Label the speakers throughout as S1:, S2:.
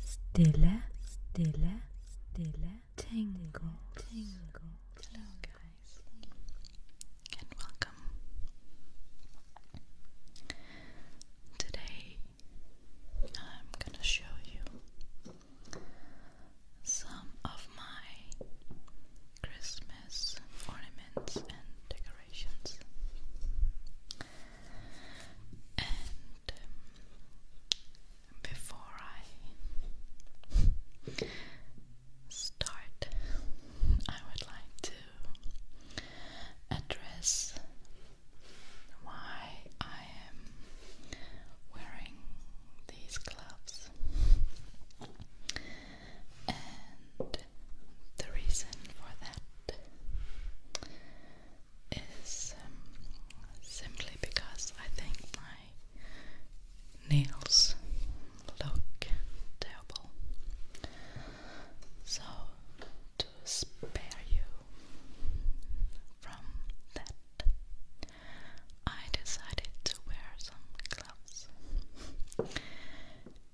S1: Stille, stille, stille. Tingle, tingle. Hello, guys, and welcome. Today, I'm gonna show you some of my Christmas ornaments and decorations. Um, before I start, I would like to address why I am wearing these gloves and the reason for that is um, simply because I think my nails look terrible. So, to spare you from that, I decided to wear some gloves.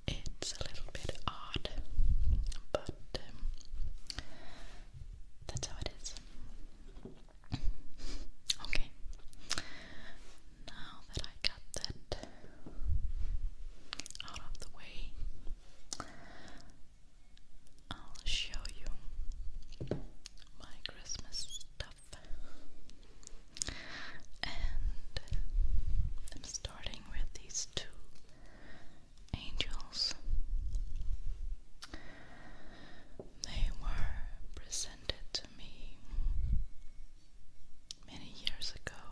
S1: It's a little bit odd, but um, that's how it is. Okay. Now that I got that out of the way, I'll show you my Christmas stuff. And I'm starting with these two angels. They were presented to me many years ago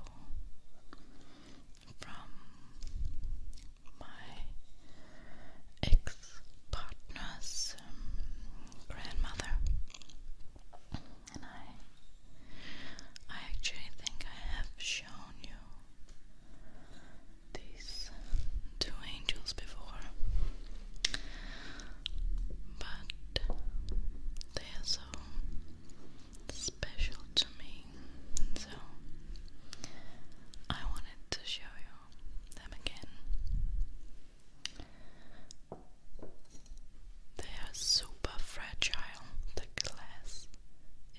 S1: from my ex partner's um, grandmother, and I, I actually think I have shown you these two angels before, but they are so special to me, so I wanted to show you them again. They are super fragile, the glass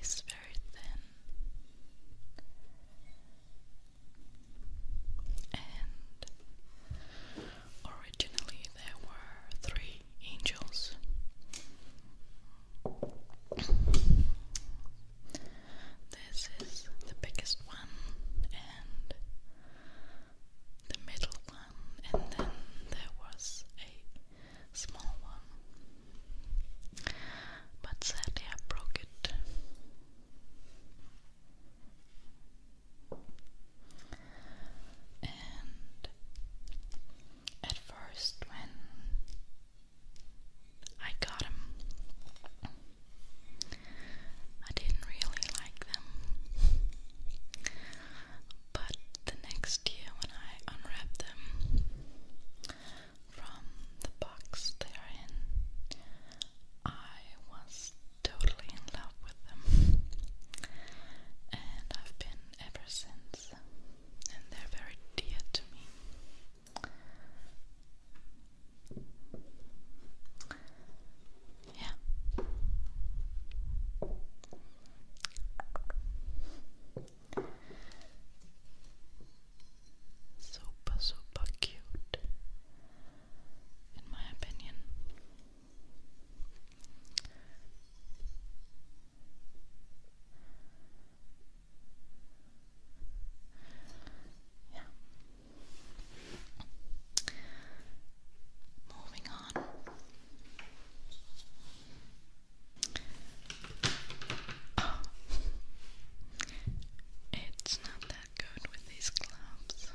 S1: is very very thin. And originally there were three angels. This is the biggest one, and the middle one, and then there was a small one. But sadly, I broke it. And at first, when I got them, I didn't really like them. But the next year, when I unwrapped them, from the box they are in. I was totally in love with them, and I've been ever since, and they're very dear to me. Yeah super, super cute, in my opinion. Yeah. Moving on. Oh. It's not that good with these gloves.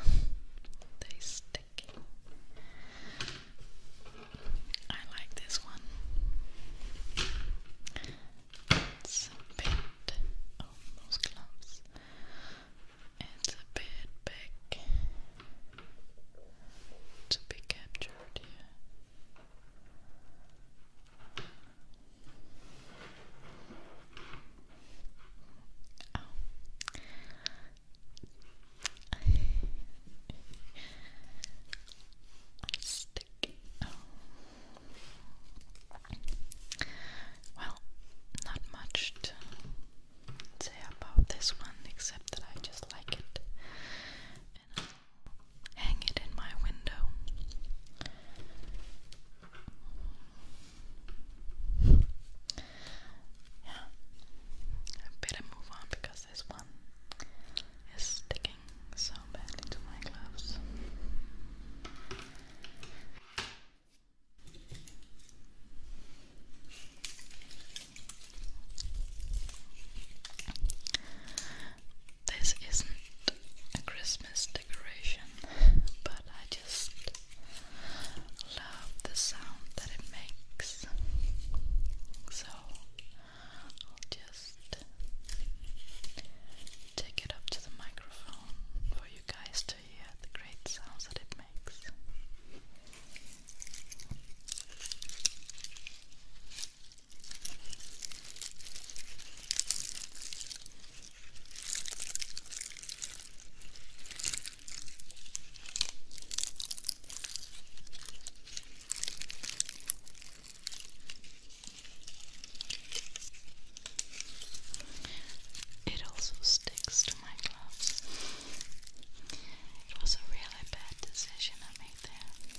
S1: they stick. I like this one. It's a bit oh those gloves. It's a bit big to be captured Oh. I oh. Well, not much to say about this one except that I just like it hang it in my window. Yeah, I better move on because this one is sticking so badly to my gloves. This isn't a Christmas decoration, but I just love the sound that it makes. So I'll just take it up to the microphone for you guys to hear the great sounds that it makes. It also sticks to my gloves. It was a really bad decision I made there.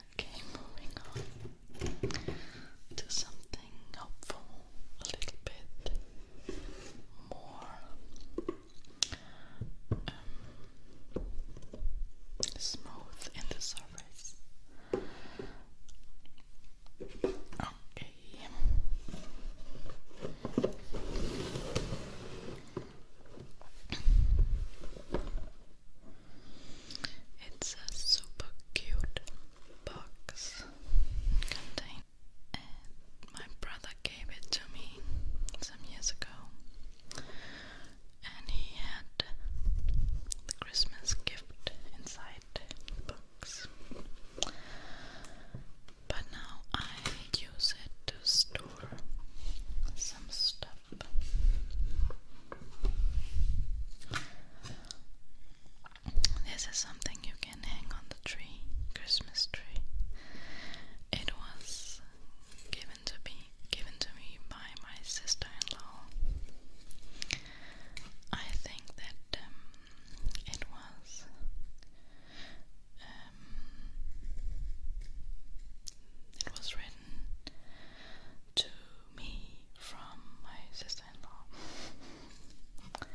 S1: Okay, moving on to something helpful, a little bit more um, smooth in the surface. Okay. It's a super cute box container, my brother gave it to me some years ago. And he had the Christmas gift inside box. But now I use it to store some stuff this is something you can hang on the tree, Christmas tree. It was given to me given to me by my sister-in-law. I think that um, it was um, it was written to me from my sister-in-law.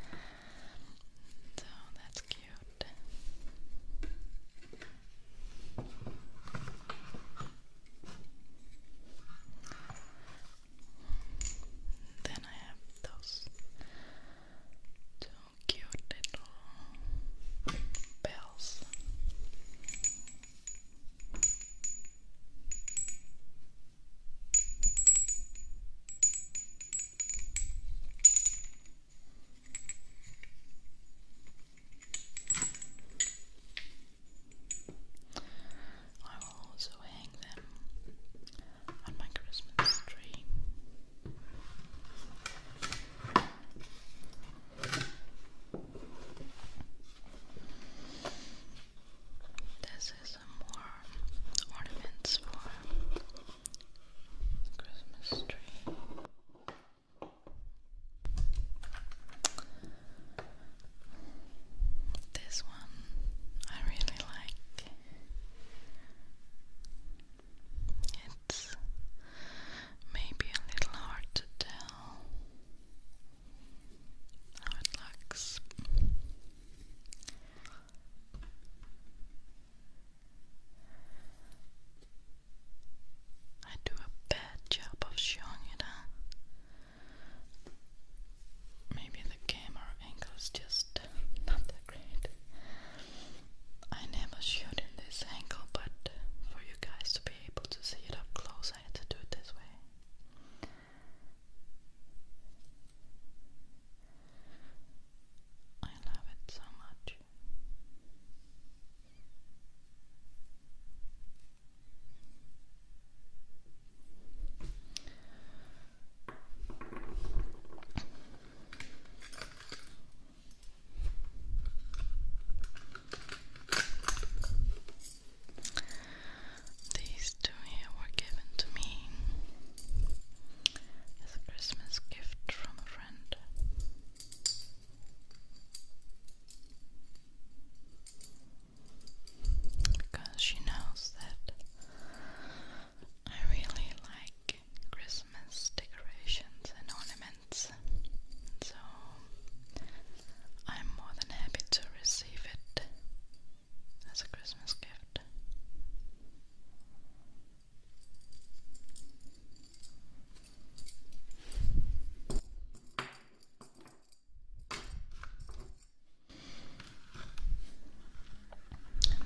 S1: so that's cute. Then I have those two cute little bells. I will also hang them on my Christmas tree. This is some more ornaments for Christmas tree. This one I really like. It's maybe a little hard to tell it looks. I do a bad job of showing it, Maybe the camera angle is just not that great. I never shoot in this angle, but for you guys to be able to see it up close I had to do it this way. I love it so much. These two here were given to me as a Christmas gift from a friend. Because she knows that I really like Christmas decorations and ornaments. So I'm more than happy to receive it as a Christmas gift.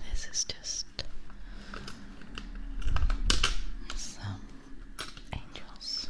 S1: this is just some angels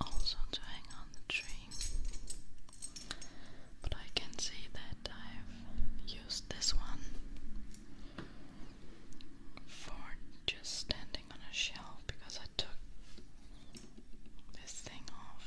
S1: also to hang on the tree. But I can see that I've used this one for just standing on a shelf because I took this thing off.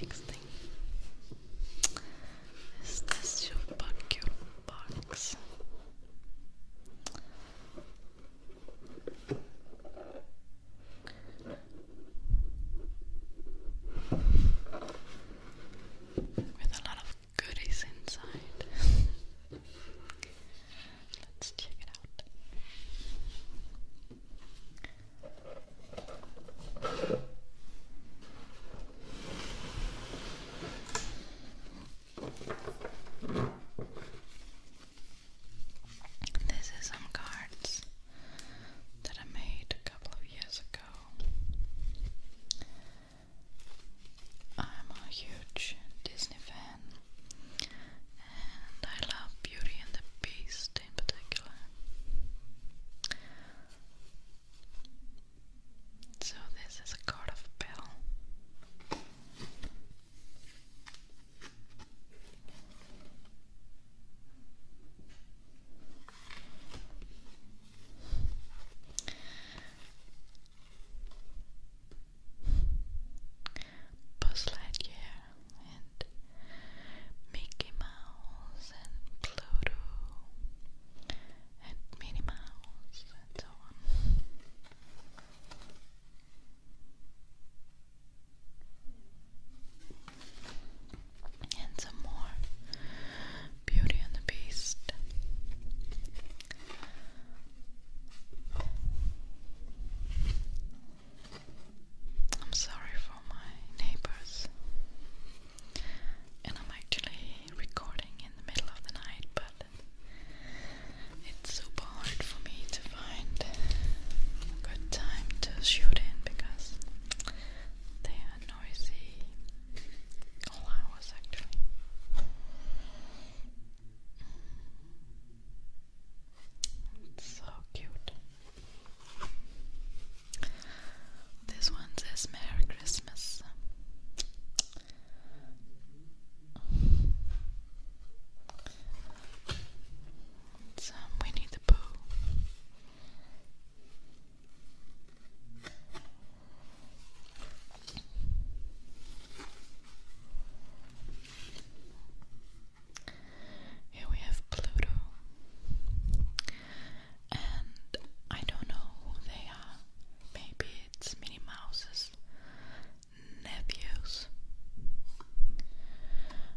S1: Next thing is this your vacuum box. With a lot of goodies inside. Let's check it out. This is some cards that I made a couple of years ago. I'm a huge Disney fan and I love Beauty and the Beast in particular. So, this is a card of Bell. Buzz Lightyear and Mickey Mouse and Pluto and Minnie Mouse and some more Beauty and the Beast. I'm sorry for my neighbors. And I'm actually recording in the middle of the night, but it's super hard for me to find a good time to shoot in because they are noisy all hours actually. so cute. This one says Merry Christmas. It's um, the Pooh. Here we have Pluto. And I don't know who they are. Maybe it's Minnie Mouse's nephews.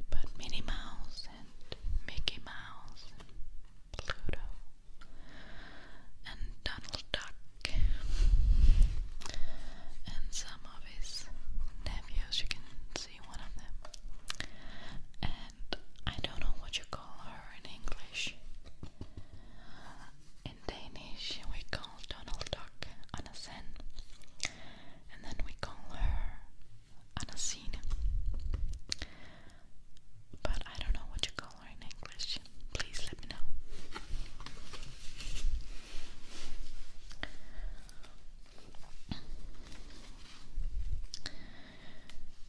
S1: But Minnie Mouse and Mickey Mouse Pluto and Donald Duck and some of his nephews you can and I don't know what you call her in English. In Danish, we call Donald Duck Anna and then we call her Anna But I don't know what you call her in English. Please let me know.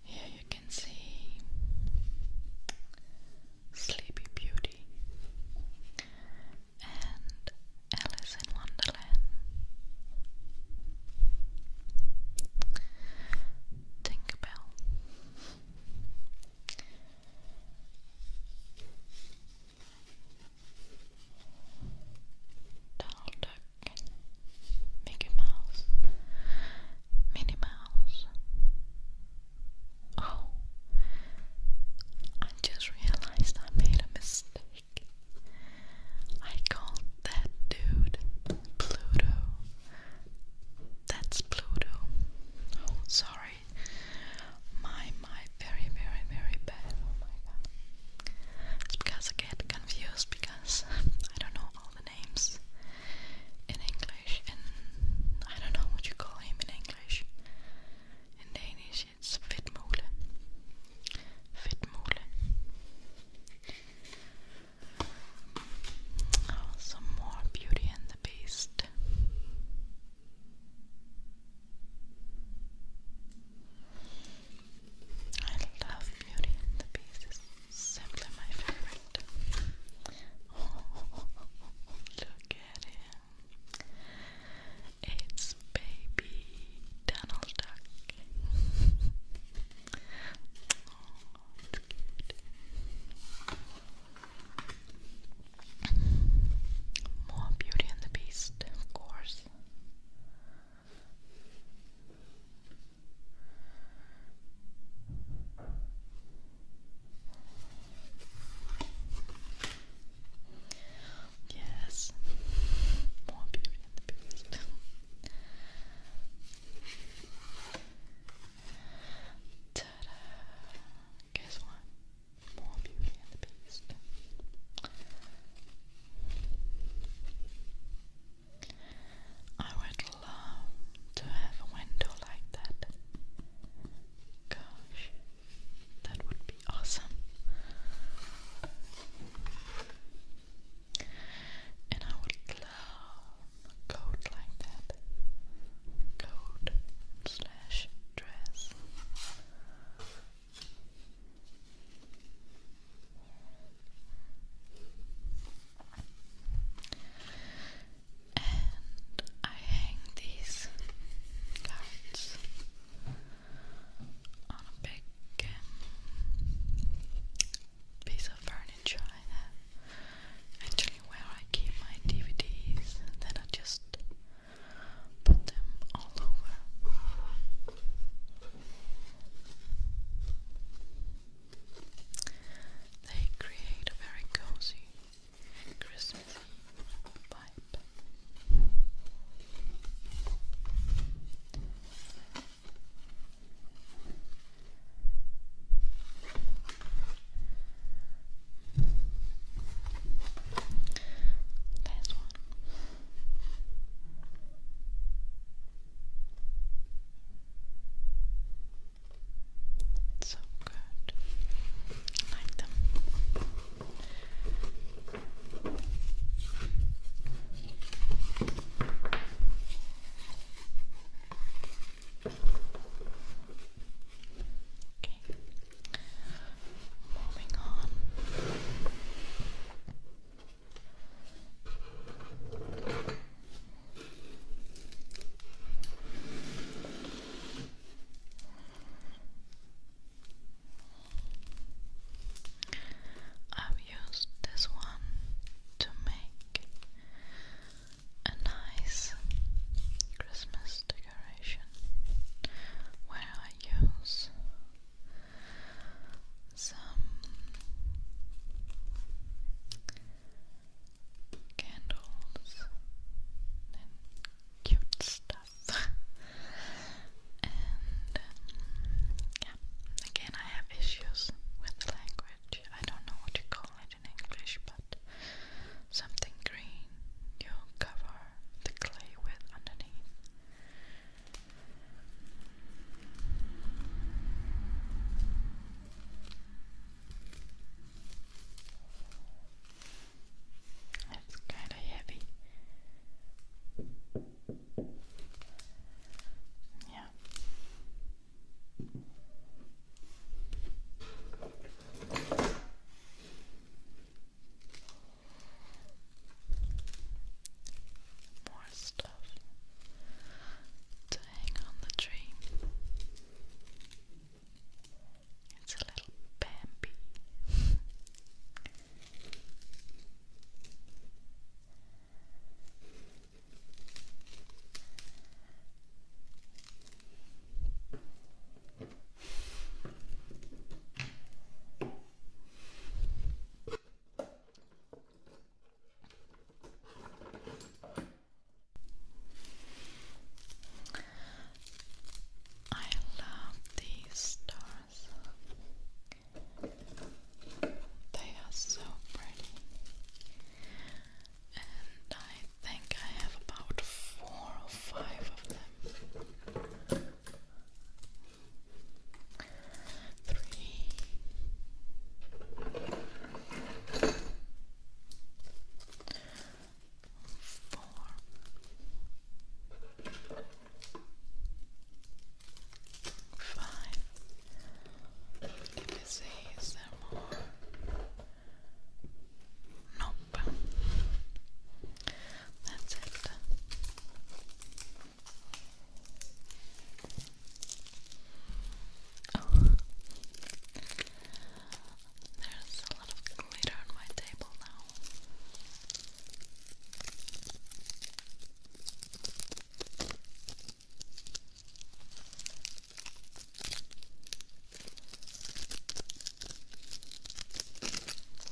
S1: Here you can see Sleepy Beauty and Alice in Wonderland. Tinkerbell. Donald Duck, Mickey Mouse, Minnie Mouse. Oh, I just realized I made a mistake. I called that dude Pluto. That's Pluto. Oh, sorry. My, my, very, very, very bad. Oh my god. It's because I get confused because I don't know all the names in English and I don't know what you call him in English. In Danish it's Fitmule. Fitmule. Oh, some more Beauty and the Beast. I love Beauty and the Beast. It's simply my favorite. look at him. It's baby Donald Duck. More Beauty and the Beast, of course. Yes, more beauty and the beast. Ta-da! Guess what? More beauty and the beast. I would love to have a window like that. Gosh, that would be awesome. And I would love a coat like that. Coat slash dress. And I hang these cards on a big um, piece of furniture Actually, where I keep my DVDs, then I just put them all over. They create a very cozy Christmasy vibe. Last one. So good. I like them. Okay. Moving on. I've used this one to make a nice Christmas decoration where I use some candles and cute stuff. and um, yeah, again, I have issues with language. I don't know what you call it in English, but something green you cover the clay with underneath. That's kind of heavy. Yeah. More stuff to hang on the tree. It's a little Bambi. I love these stars. They are so pretty. And I think I have about four or five of them three. Four. Five. Did you say more? Nope. That's it. Oh. There's a lot glitter on my table now.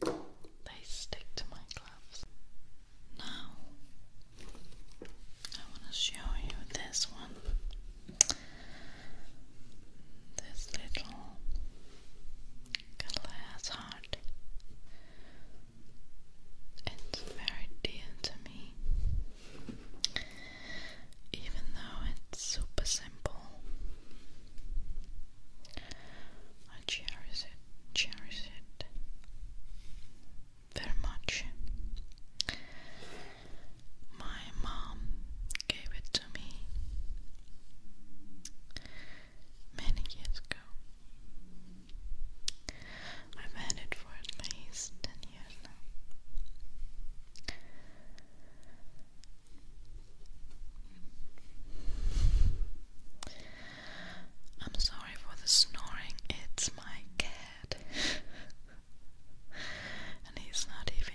S1: They stick to my gloves. Now, I want to show you this one. This little glass heart. It's very dear to me. Even though it's super simple, I cherish it, cherish it very much. My mom gave it to me many years ago. I've had it for at least 10 years now. I'm sorry for the snoring, it's my cat. and he's not even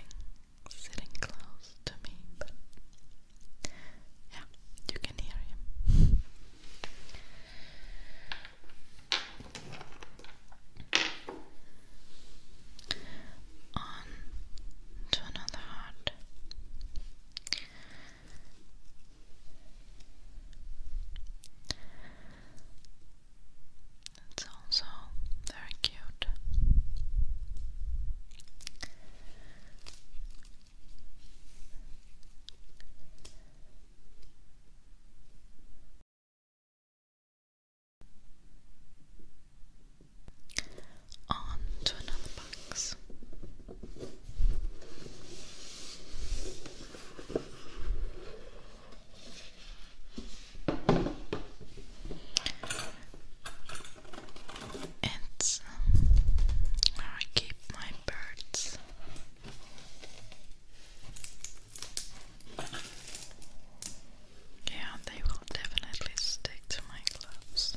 S1: sitting close to me, but yeah, you can hear him. On to another heart. It's also very cute. On to another box. It's where I keep my birds. Yeah, they will definitely stick to my gloves.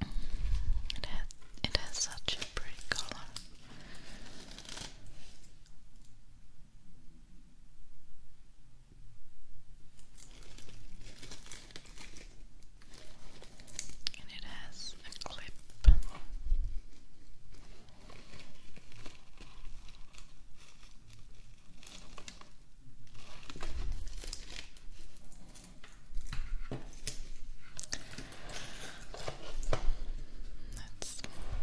S1: It has, it has such a pretty color. And it has a clip. That's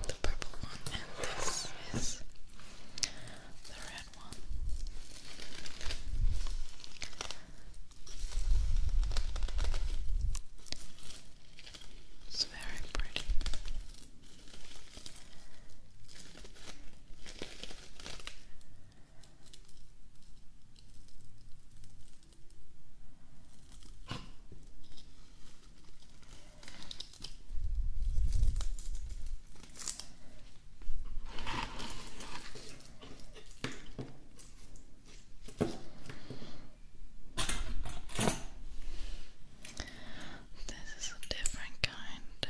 S1: the purple one, and this is the red one. It's very pretty. This is a different kind.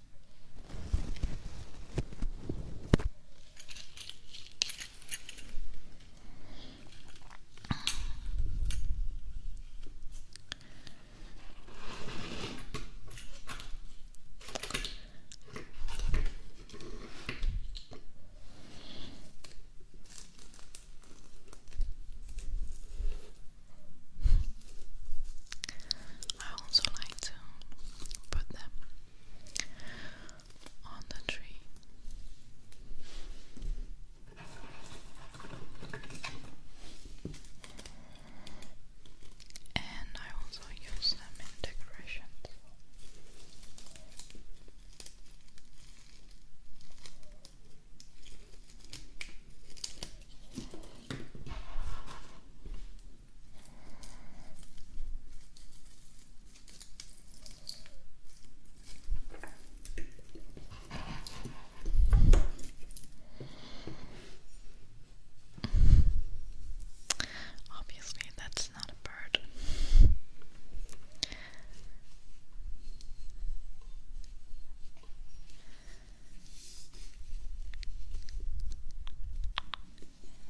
S1: I also like to put them on the tree. And I also use them in decorations. Obviously, that's not a bird.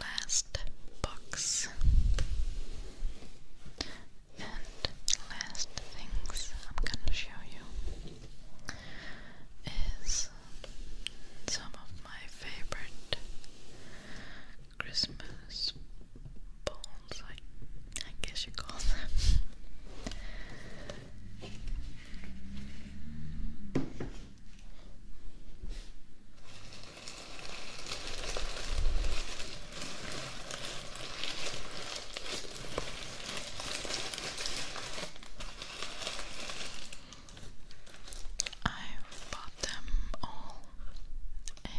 S1: Last box and last things I'm gonna show you is some of my favorite Christmas balls, I, I guess you call them. I've bought them all and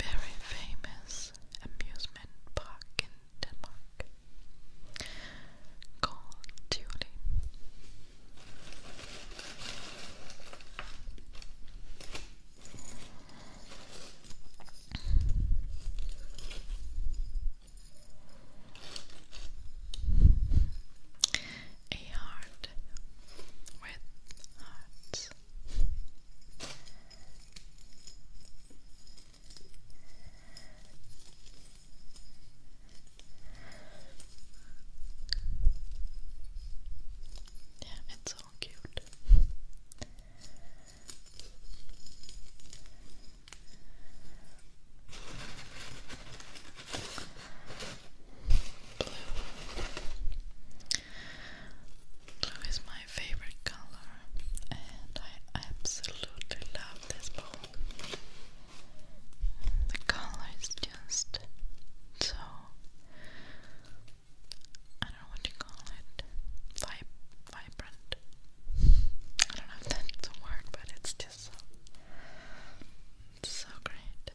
S1: a very famous amusement park in Denmark Call of A heart with hearts. Yeah, it's all cute. Blue. Blue is my favorite color, and I absolutely love of this bowl. The color is just so I don't know what you call it. Vib vibrant. I don't know if that's a word, but it's just so so great.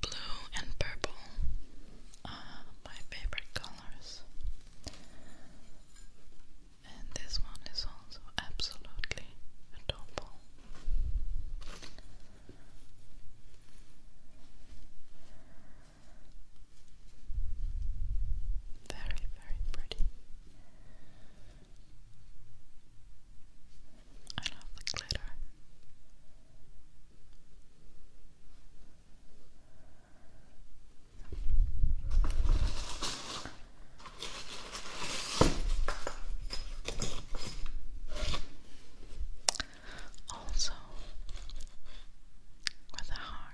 S1: Blue and purple uh, my favorite colors. And this one is also absolutely adorable. Very, very pretty. I love the glitter. Also, with a heart.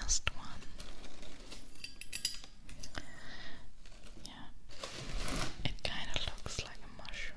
S1: Last one. Yeah, it kind of looks like a mushroom.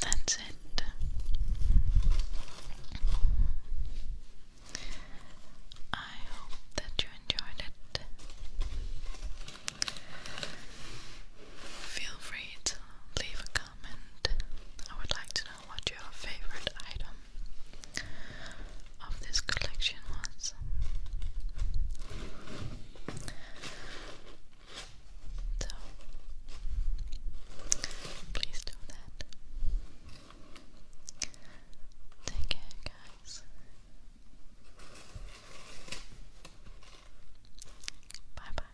S1: That's it. I hope that you enjoyed it. Feel free to leave a comment. I would like to know what your favorite item of this collection was. So, please do that. Take care, guys. Bye bye.